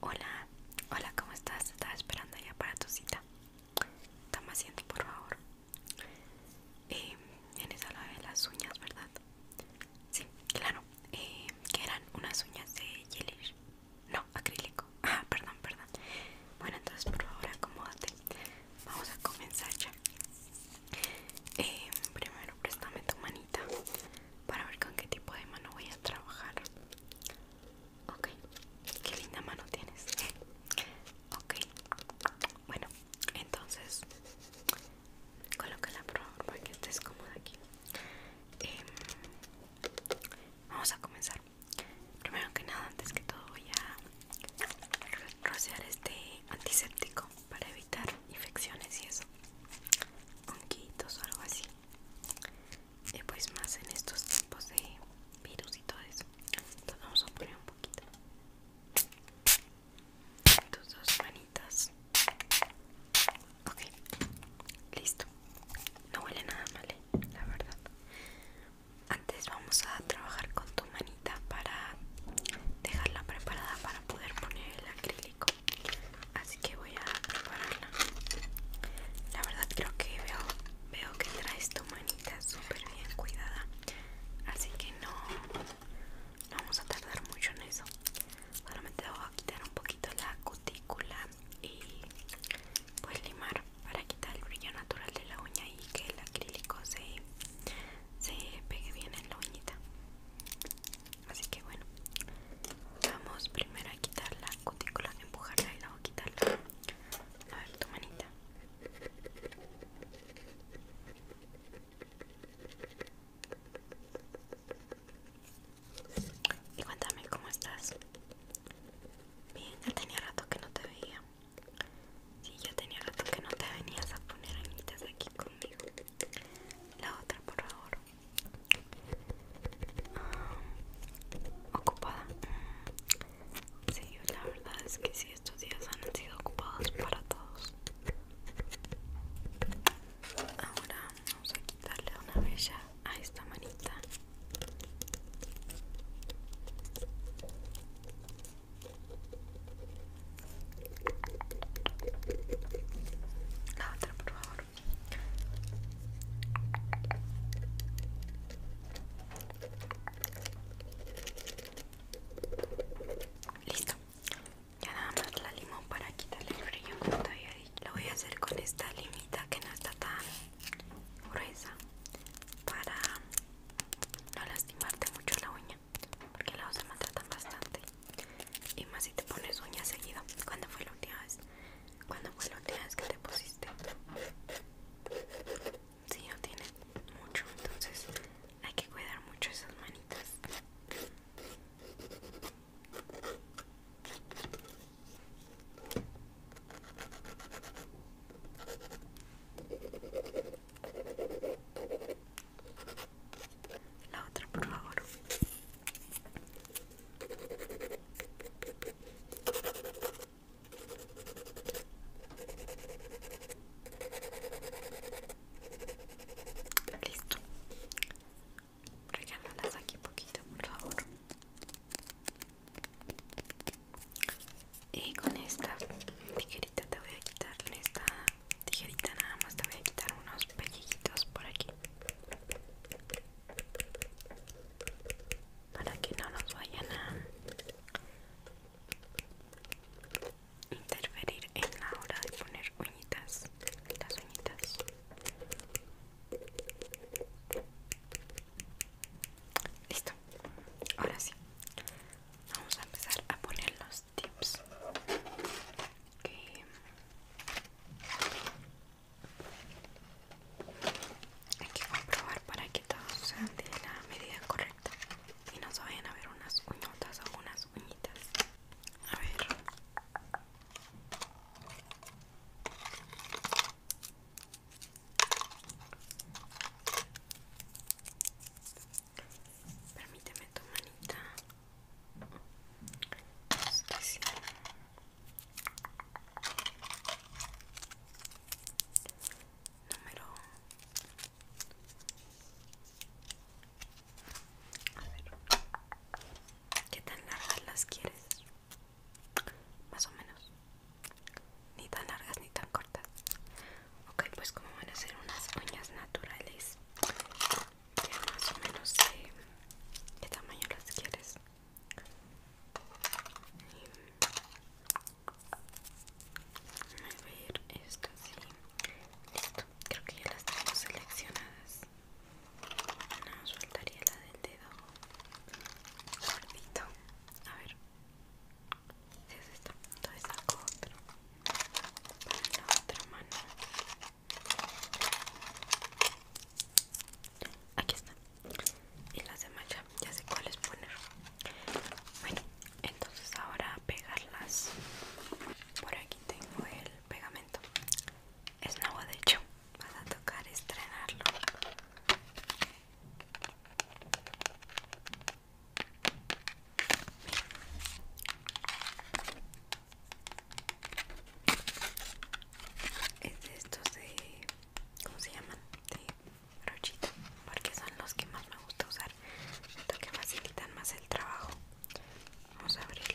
Hola, hola, ¿cómo estás? Estaba esperando ya para tu cita. Toma asiento, por favor. Eh, vienes a la de las uñas, ¿verdad? Sí, claro. Eh, que eran unas uñas de gelish. No, acrílico. Ah, perdón, perdón. Bueno, entonces por favor acomódate. Vamos a comenzar ya. Eh, primero préstame tu manita para ver con qué tipo de mano voy a trabajar. Ok, qué linda mano tienes. Ok, bueno, entonces Coloca la prueba para que estés cómoda aquí. Em, vamos a comenzar. Primero que nada, antes que todo, voy a rociar este antiséptico para evitar infecciones y eso, quitos o algo así y eh, pues más en estos tiempos de virus y todo eso entonces vamos a poner un poquito tus dos manitas ok listo no huele nada mal eh, la verdad antes vamos a trabajar con tu manita para dejarla preparada para poder poner el acrílico así que voy a prepararla la verdad creo que veo veo que traes tu manita súper bien cuidada así que no vamos a tardar mucho en eso solamente voy quitar un poquito la cutícula y pues limar para quitar el brillo natural de la uña y que el acrílico se, se pegue bien en la uñita así que bueno vamos primero a quitar la cutícula empujarla y luego quitarla a ver tu manita y cuéntame cómo estás bien ya tenía rato que no te veía Sí, ya tenía rato que no te venías a poner añitas aquí conmigo. La otra, por favor. Ah, ocupada. Sí, la verdad es que sí, estos días han sido ocupados para todos. Ahora vamos a quitarle una bella a esta manita. La otra, por favor. Listo. Ya nada más la limón para quitarle el brillo Lo voy a hacer con esta limita que no está tan gruesa para no lastimarte mucho la uña porque la vas a bastante. Y más si te pones uñas seguido. ¿Cuándo fue la última vez? ¿Cuándo fue la última vez que te pusiste? Si sí, no tiene mucho, entonces hay que cuidar mucho esas manitas. La otra, por favor. Listo. Regálalas aquí poquito, por favor. Y con esta tijerita te voy a quitarle esta tijerita nada más te voy a quitar unos pellejitos por aquí para que no nos vayan a interferir en la hora de poner uñitas las uñitas listo ahora sí vamos a empezar a poner los tips que hay que comprobar para que todos sean de la medida correcta y no se vayan a ver unas uñotas o unas uñitas. A ver. Permíteme tu manita. Número. A ver. ¿Qué tan largas las quieres? Más o menos. Ni tan largas ni tan cortas. Ok, pues como van a ser unas uñas naturales, ya más o menos de qué tamaño las quieres voy em, a ir esto así listo creo que ya las tengo seleccionadas no, soltaría la del dedo gordito a ver si es esta entonces saco otro para la otra mano Aquí está. Y las de ya, ya sé cuáles poner. Bueno, entonces ahora pegarlas. Por aquí tengo el pegamento. Es nuevo de hecho. Vas a tocar estrenarlo es estos de ¿cómo se llaman? de brochita porque son los que más me gusta usar facilitan más el trabajo vamos a abrirlo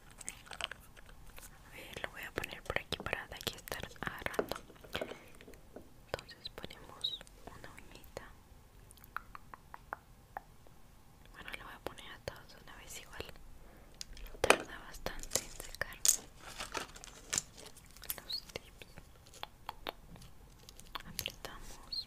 A ver, lo voy a poner por aquí para de aquí estar agarrando. Entonces ponemos una uñita. Bueno, lo voy a poner a todos una vez igual. Tarda bastante en secar los tips. Apretamos.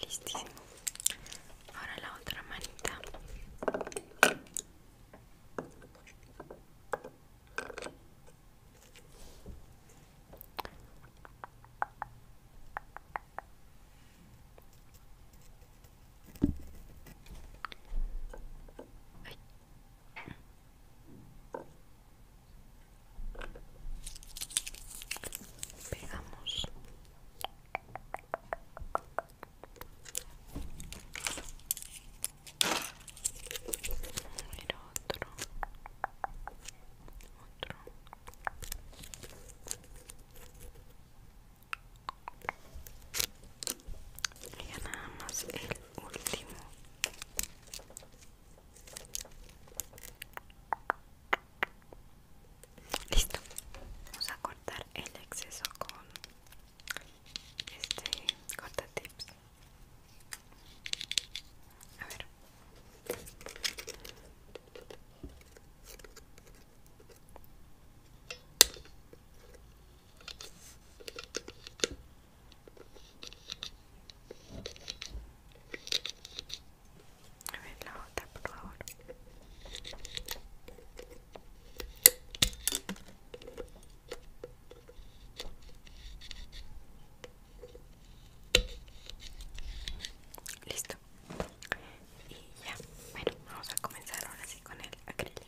listísimo ahora la otra manita Pegamos otro, otro. Y ya nada más el último. Listo. Vamos a cortar el exceso con este corta A ver. A ver la otra, por favor. Listo. Y ya, bueno, vamos a comenzar ahora sí con el acrílico.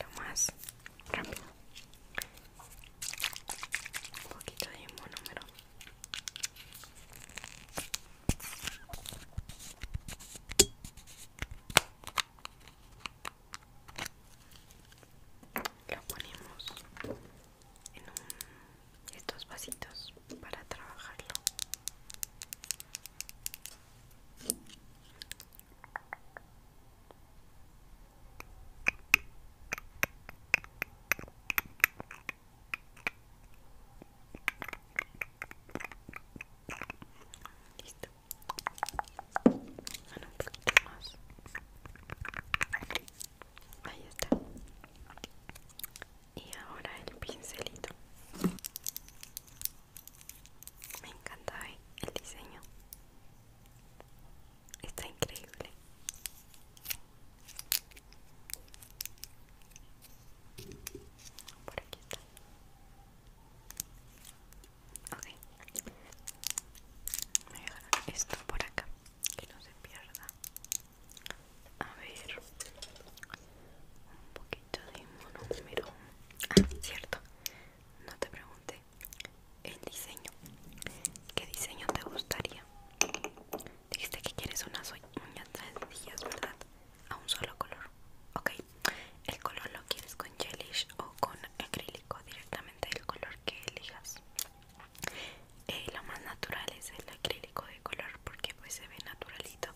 Lo más rápido. Un poquito de número. Lo ponemos en estos vasitos para trabajarlo. Listo. Ahora un poquito más. Ahí está. Y ahora el pincelito. Me encanta eh, el diseño. Está increíble. Por aquí está. Ok. Voy a dejar esto por acá, que no se pierda. A ver. Un poquito de monómero. Ah, cierto. No te pregunté el diseño. ¿Qué diseño te gustaría? Dijiste que quieres unas uñas sencillas, ¿verdad? A un solo color. Ok. El color lo quieres con gelish o con acrílico, directamente el color que elijas. Eh, lo más natural es el acrílico de color porque pues se ve naturalito.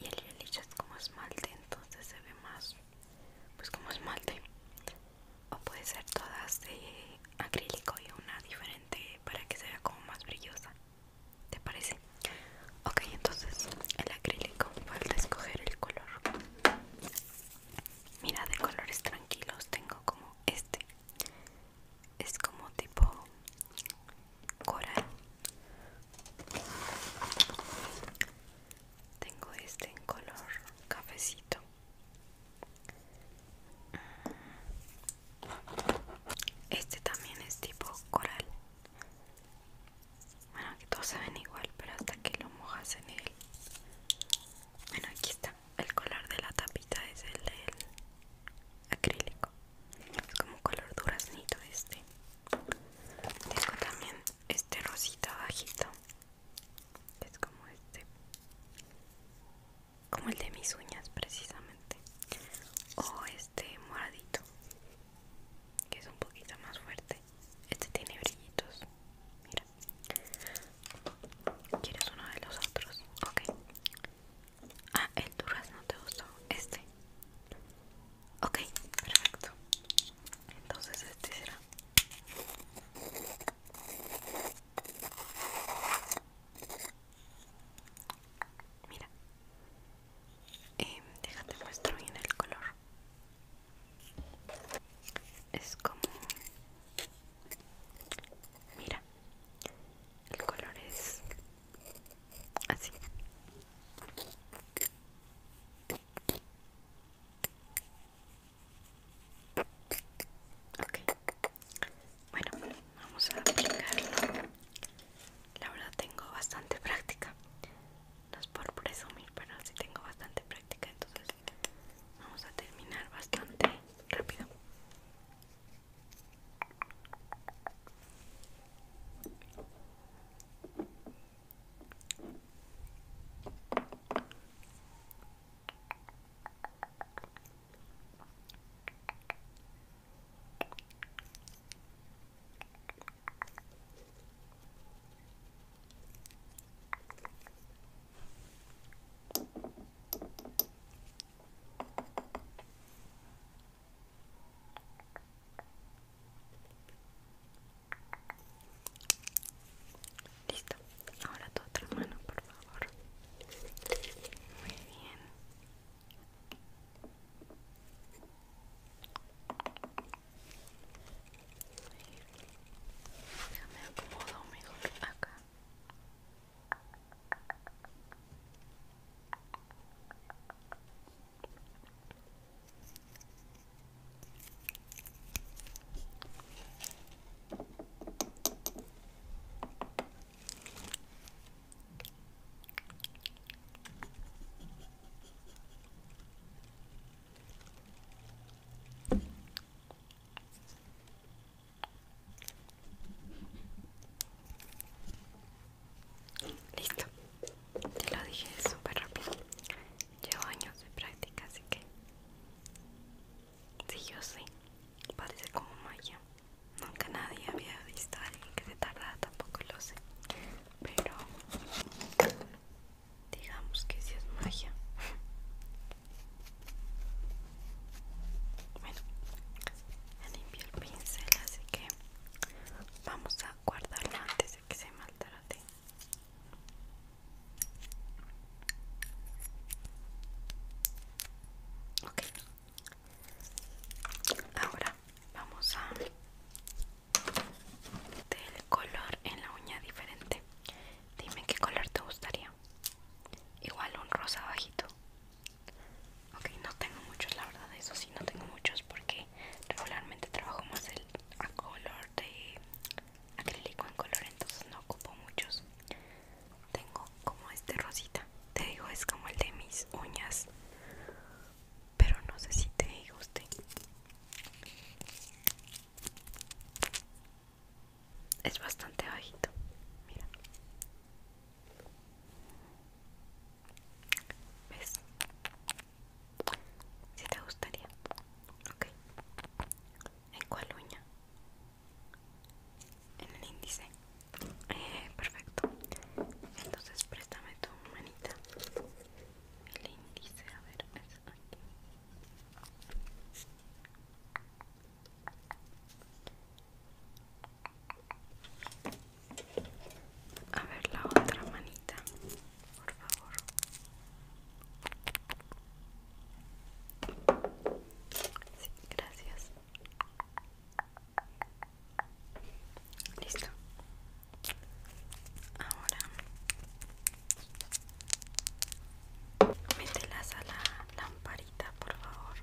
Y el gelish es como esmalte, entonces se ve más pues como esmalte. O puede ser todas de acrílico y una diferente para que se vea como más brillosa. ¿Te parece? Ok, entonces el acrílico falta escoger el color. Mira, de colores tranquilos tengo como este. Es como tipo coral. Tengo este en color cafecito. Este también es tipo coral. Bueno, que todos se ven igual, pero hasta que lo mojas en él. Bueno, aquí está. El color de la tapita es el del acrílico. Es como color duraznito este. Tengo también este rosita bajito. Es como este como el de mis uñas precisamente o este moradito que es un poquito más fuerte este tiene brillitos mira quieres uno de los otros ok ah el no te gustó este ok perfecto entonces este será Mira, eh, déjate muestro bien el color. Es como, mira, el color es así. Okay. Bueno, vamos a aplicarlo. La verdad tengo bastante práctica. No es por presumir, pero sí tengo bastante práctica. Entonces vamos a terminar bastante rápido. Listo, ahora tu otra mano, por favor. Muy bien me acomodo mejor acá. Listo, te lo dije súper rápido. Llevo años de práctica, así que... Sí, yo sé. Parece como maya Nunca nadie había visto a alguien que se tardara, tampoco lo sé. Pero digamos que si es magia. Bueno, ya limpió el pincel, así que vamos a guardarlo antes de que se maltrate. Ok, Ahora vamos a del color en la uña diferente. Dime qué color te gustaría. Igual un rosa bajito. Ok, no tengo muchos, la verdad, eso sí, no tengo muchos porque regularmente trabajo más el color de acrílico en color, entonces no ocupo muchos tengo como este rosita te digo es como el de mis uñas pero no sé si te guste es bastante bajito mira ves si te gustaría ok en cuál uña en el índice eh, perfecto entonces préstame tu manita el índice a ver es aquí a ver la otra manita, por favor. Sí, gracias. Listo. Ahora mételas a la lamparita, por favor.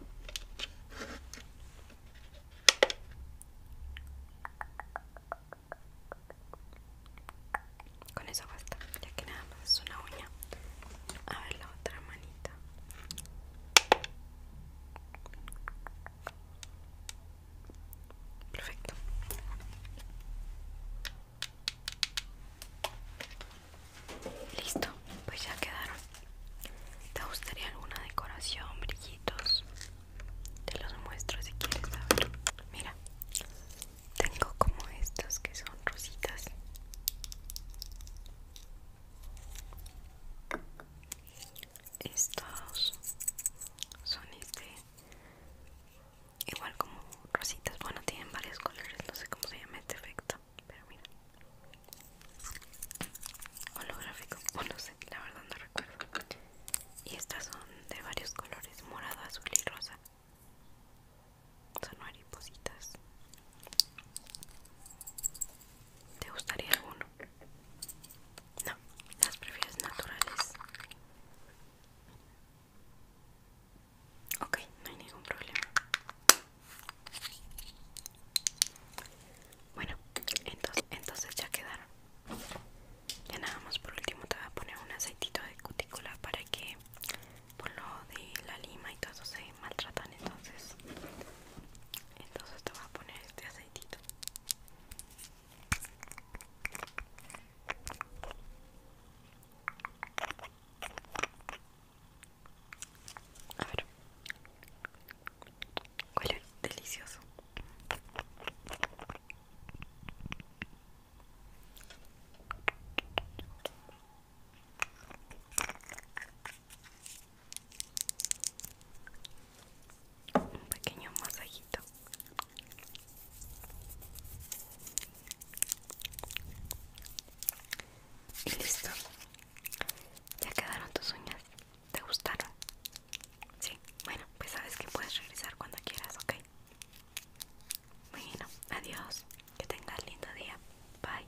Con eso basta, ya que nada más es una uña. A ver la otra manita. Perfecto. Listo, pues ya quedaron. ¿Te gustaría alguna decoración, brillitos? Te los muestro si quieres saber. Mira, tengo como estos que son rositas. Estos son este igual como rositas, bueno tienen varios colores, no sé cómo se llama este efecto, pero mira. Holográfico, o no sé, la verdad no recuerdo. Y estas son de varios colores, morado, azul y rosa. Son varios cositas ¿Te gustaría alguno? No, las prefieres naturales. Ok, no hay ningún problema. Bueno, entonces, entonces ya quedaron. Ya nada más por último te voy a poner un aceitito de cutícula para que por lo de la lima y todo se maltratan entonces entonces te voy a poner este aceitito. A ver, huele delicioso un pequeño masajito y listo ya quedaron tus uñas te gustaron sí bueno pues sabes que puedes regresar cuando quieras ok bueno adiós que tengas lindo día bye